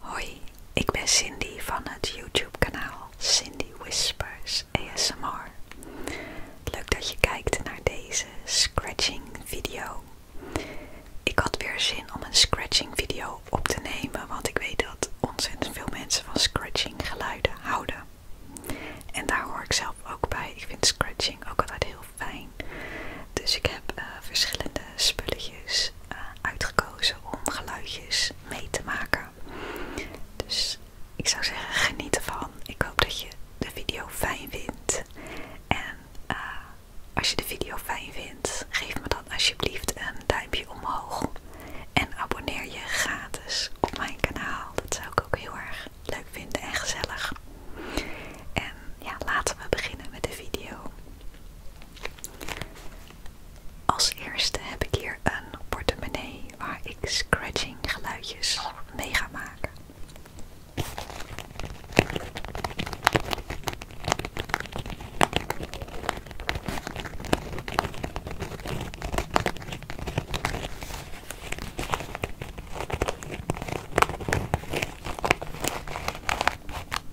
Hoi, ik ben Cindy van het YouTube kanaal Cindy Whispers ASMR. Leuk dat je kijkt naar deze scratching video. Ik had weer zin om een scratching video op te nemen, want ik weet dat ontzettend veel mensen van scratching geluiden houden. En daar hoor ik zelf ook bij. Ik vind scratching ook altijd heel fijn. Dus ik heb eh, verschillende spulletjes eh, uitgekozen om geluidjes mee te maken. Dus ik zou zeggen, geniet ervan. Ik hoop dat je de video fijn vindt. En eh, als je de video fijn vindt, geef me dan alsjeblieft een duimpje omhoog. En abonneer je gratis op mijn kanaal. Dat zou ik ook heel erg leuk vinden en gezellig. En ja, laten we beginnen met de video. Als eerste heb ik hier een portemonnee waar ik scratching geluidjes mee ga maken.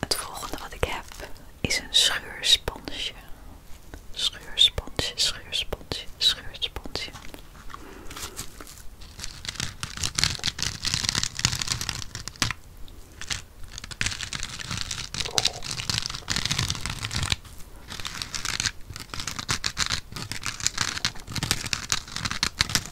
Het volgende wat ik heb is een scheursponsje, scheursponsje, schuursponsje, schuursponsje.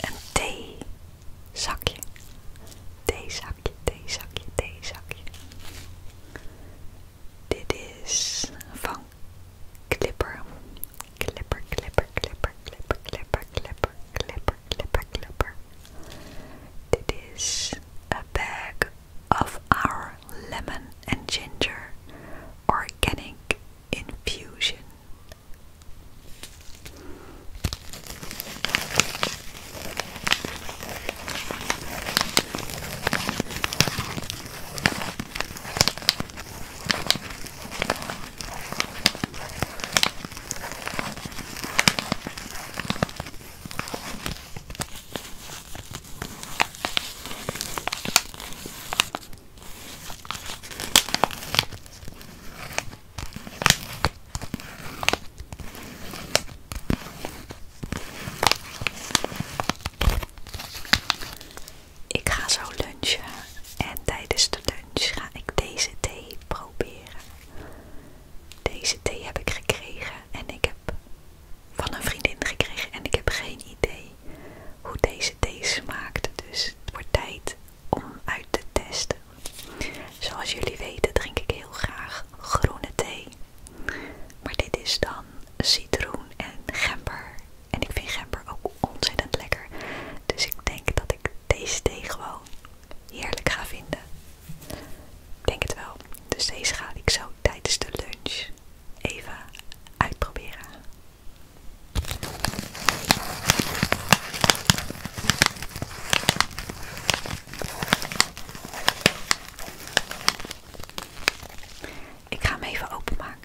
Een zakje, thee zakje, thee zakje. Dit is van Clipper. Clipper, Clipper, Clipper, Clipper, Clipper, Clipper, Clipper, clipper, clipper. It is a bag of our lemon and ginger organic infusion. Ik ga zo lunchen en tijdens de lunch ga ik deze thee proberen. Deze thee heb ik gekregen en ik heb van een vriendin gekregen en ik heb geen idee hoe deze thee smaakt. Dus het wordt tijd om uit te testen. Zoals jullie weten drink ik heel graag groene thee. Maar dit is dan citroen en gember. En ik vind gember ook ontzettend lekker. Dus ik denk dat ik deze thee gewoon heerlijk ga vinden. denk het wel. Dus deze ga ik zo tijdens de lunch even uitproberen. Ik ga hem even openmaken.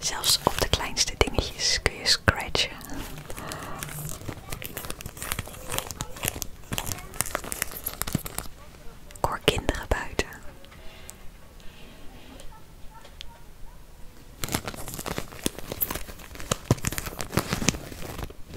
Zelfs op de kleinste dingetjes kun je scratchen. buiten.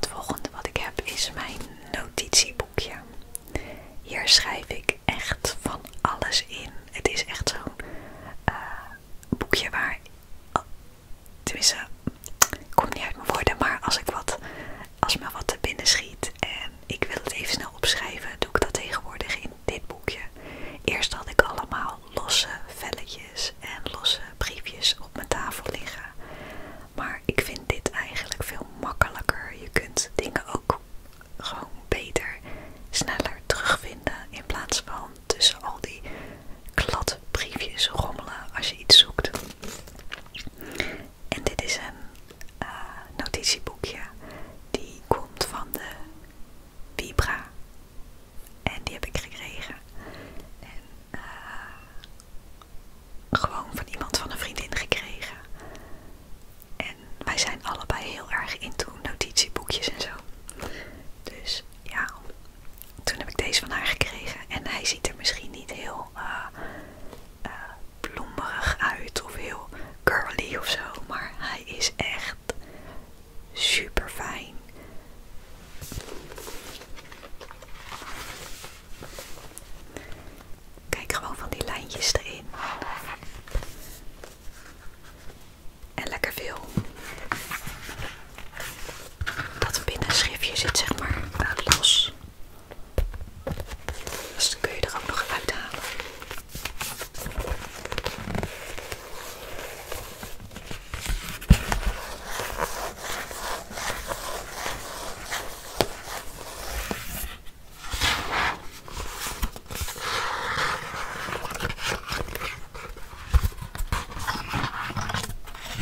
Het volgende wat ik heb is mijn notitieboekje. Hier schrijf ik echt van alles in. Het is echt zo'n eh, boekje waar. Oh, tenminste, ik kom niet uit mijn woorden, maar als ik wat als me wat te binnen schiet en ik wil het even snel opschrijven, doe ik dat tegenwoordig in dit boekje. Eerst had ik allemaal losse velletjes en losse briefjes op mijn tafel liggen. Maar ik vind dit eigenlijk veel makkelijker. Je kunt dingen ook gewoon beter, sneller terugvinden in plaats van tussen al die briefjes rommelen als je iets zoekt. En dit is een eh, notitieboekje die komt van de Vibra. En die heb ik gekregen. En eh, gewoon van iemand van een vriendin gekregen. En wij zijn allebei heel erg into notitieboekjes en zo. Dus ja, toen heb ik deze van haar gekregen. En hij ziet er misschien niet heel uh, uit of heel curly of zo. Maar hij is echt super fijn. Kijk gewoon van die lijntjes erin. En lekker veel dat binnenschriftje zit zeg maar uh, los. Dus dan kun je er ook nog uithalen.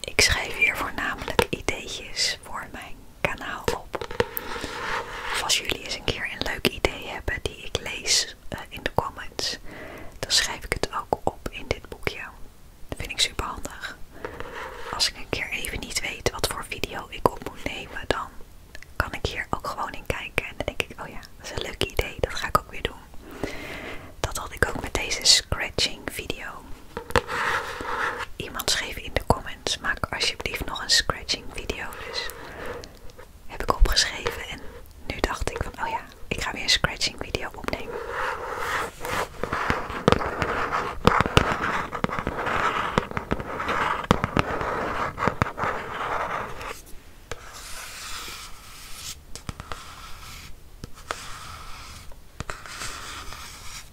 Ik schrijf hier voornamelijk ideetjes voor mijn kanaal op. als jullie eens een keer een leuk idee hebben die ik lees eh, in de comments, dan schrijf ik het ook op in dit boekje. Dat vind ik super handig. Als ik een keer even niet weet wat voor video ik op moet nemen, dan kan ik hier ook gewoon in kijken. En dan denk ik, oh ja, dat is een leuk idee, dat ga ik ook weer doen. Dat had ik ook met deze scratching video. Iemand schreef in de comments, maak alsjeblieft nog een scratching video. Dus heb ik opgeschreven en nu dacht ik van, oh ja, ik ga weer een scratching video opnemen.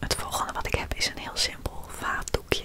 Het volgende wat ik heb is een heel simpel vaatdoekje.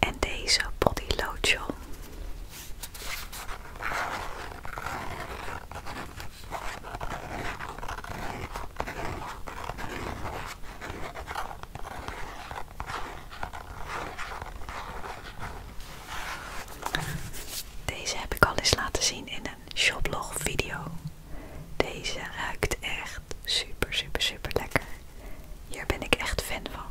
En deze body lotion deze heb ik al eens laten zien in een shoplog video. Deze ruikt echt super super super lekker. Hier ben ik echt fan van.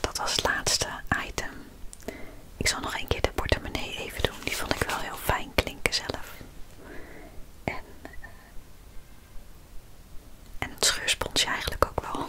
Dat was het laatste item. Ik zal nog een keer de portemonnee even doen. Die vond ik wel heel fijn klinken zelf. En, eh, het scheursponsje eigenlijk ook wel.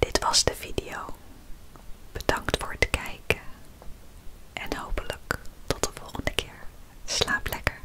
Dit was de video. Bedankt voor het kijken en hopelijk tot de volgende keer. Slaap lekker.